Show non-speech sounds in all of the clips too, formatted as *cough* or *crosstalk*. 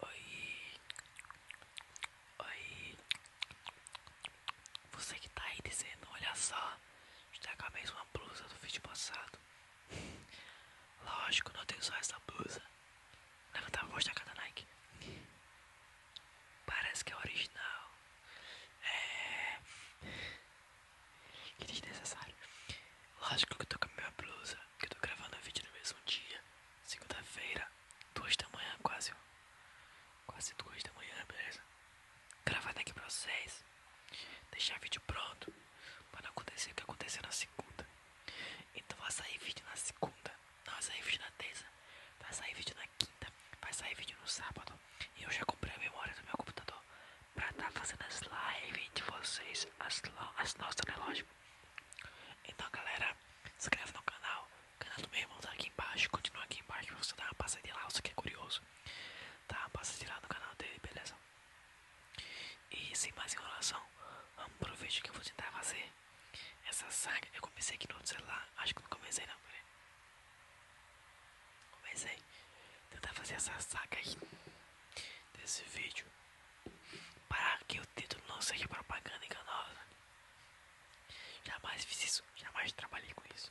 Oi. Oi. Você que tá aí dizendo, olha só, está com a mesma blusa do vídeo passado. *laughs* Lógico, não tenho só essa blusa. Levanta tá a voz da cada Nike. Parece que é original. É. *laughs* Que desnecessário. Lógico que eu tô com a minha blusa que eu tô gravando vídeo no mesmo dia, segunda-feira, duas da manhã quase, quase duas da manhã, beleza? Gravar aqui pra vocês, deixar vídeo pronto, pra não acontecer o que aconteceu na segunda. Então vai sair vídeo na segunda, não vai sair vídeo na terça, vai sair vídeo na quinta, vai sair vídeo no sábado. E eu já comprei a memória do meu computador pra tá fazendo as lives de vocês, as, nossas, né, então galera, se inscreve no canal, o canal do meu irmão tá aqui embaixo, continua aqui embaixo pra você dar uma passadinha lá, você que é curioso, dá uma passadinha lá no canal dele, beleza? E sem mais enrolação, vamos pro vídeo que eu vou tentar fazer essa saga, eu comecei aqui no outro celular, acho que não comecei não, peraí Comecei, tentar fazer essa saga aí, desse vídeo Parar que o título não seja propaganda enganosa. Jamais fiz isso, jamais trabalhei com isso.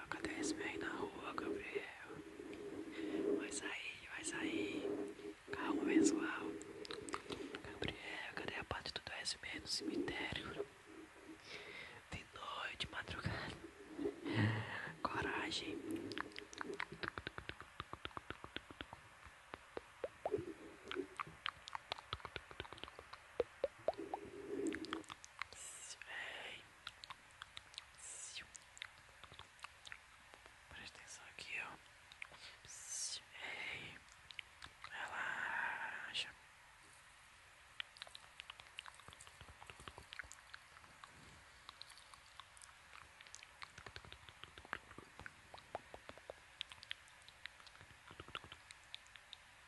Gabriel, cadê esse velho na rua, Gabriel? Vai sair, vai sair. Calma, pessoal. Gabriel, cadê a parte do 10 no cemitério? De noite, madrugada. Coragem. Vem, Presta atenção aqui, ó. Ei, relaxa.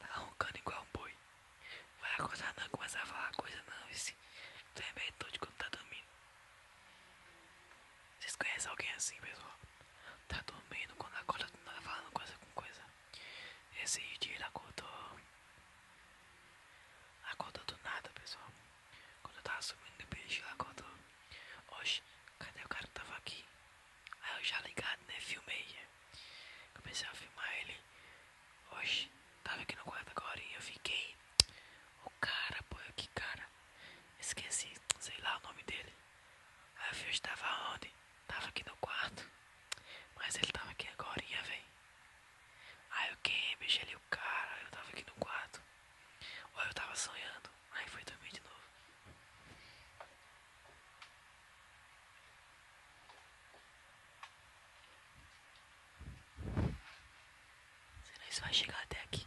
Tá roncando igual um boi. Vai acordar não, começar a falar coisa não, esse bem todo é quando tá dormindo. Vocês conhecem alguém assim, pessoal? Tá dormindo quando acorda do tá nada falando coisa com coisa. Esse dia ele acordou. Acordou do nada, pessoal. Quando eu tava subindo do ele acordou. Oxe, cadê o cara que tava aqui? Aí eu já ligado, né? Filmei. Comecei a filmar ele. Oxe, tava aqui no quarto agora e eu fiquei. O cara, pô, que cara. Esqueci, sei lá o nome dele. Aí eu estava onde? Tava aqui no quarto. Mas ele tava aqui agora, velho. Aí eu quem bicho o cara, eu tava aqui no quarto. Ou eu tava sonhando. Aí foi dormir de novo. Senão isso vai chegar até aqui.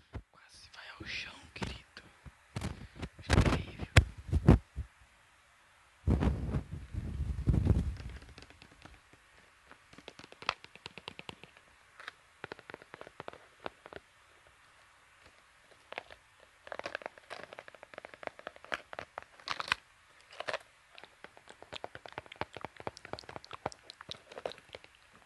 Quase vai ao chão, querido. É terrível.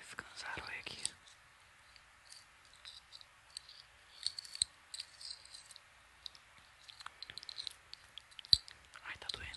Esse cansarói aqui. Ai, tá doendo.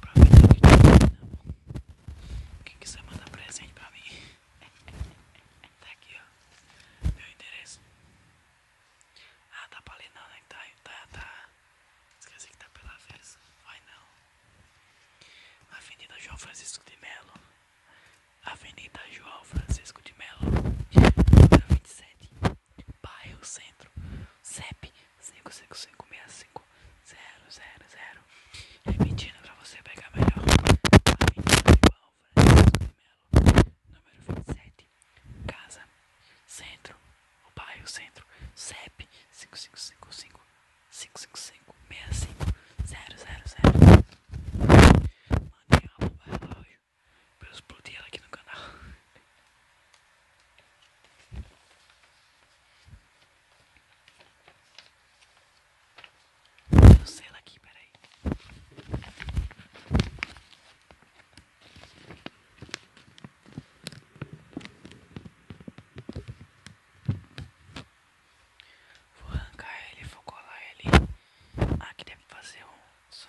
pra vida Quem quiser mandar presente pra mim, *laughs* tá aqui ó, meu endereço. Ah, tá pra ler não, né? Tá, tá, tá. Esqueci que tá pela versa. Vai não. Avenida João Francisco de Melo. Avenida João Francisco de Melo. 27. *laughs* Bairro Centro. CEP 555650000. Repetindo pra você pegar melhor. Aí, número 27. Casa. Centro. O bairro centro. CEP 5555 555 000. Mandei uma bomba relógio pra eu explodir ela aqui no canal. Eu sei lá aqui, peraí. Vou arrancar ele, vou colar ele. Aqui ah, deve fazer um. Só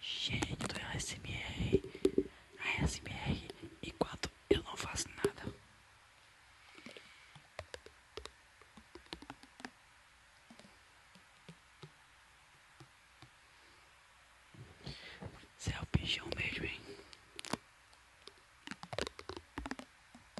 Gente do ASMR, ASMR enquanto eu não faço nada. Você é o bichão mesmo, hein?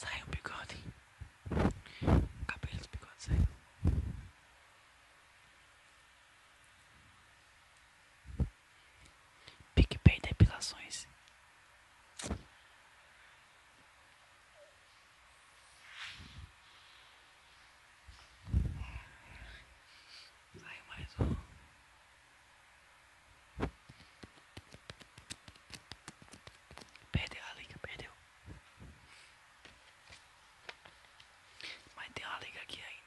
Sai um bigode. O cabelo do bigode saiu. Né? PicPay Depilações. Vai mais um. Perdeu a liga, perdeu. Mas tem uma liga aqui ainda.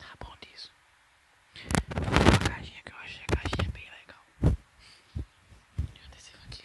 Tá bom disso. Vou uma caixinha que eu achei a caixinha é bem legal. E adesivo aqui.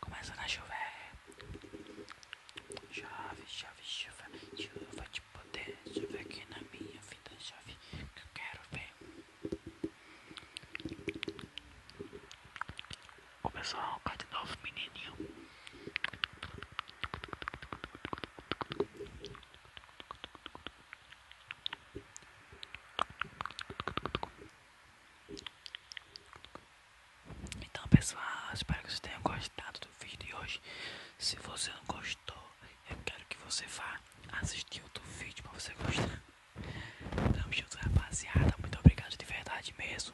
Começa a chover. É. Chove, chove, chuva, chuva de poder. Chove aqui na minha vida, chove que eu quero ver. Ô pessoal, cadê novo menininho? Então pessoal, espero que vocês tenham gostado do vídeo de hoje. Se você não gostou, eu quero que você vá assistir outro vídeo para você gostar. Tamo junto rapaziada, muito obrigado de verdade mesmo.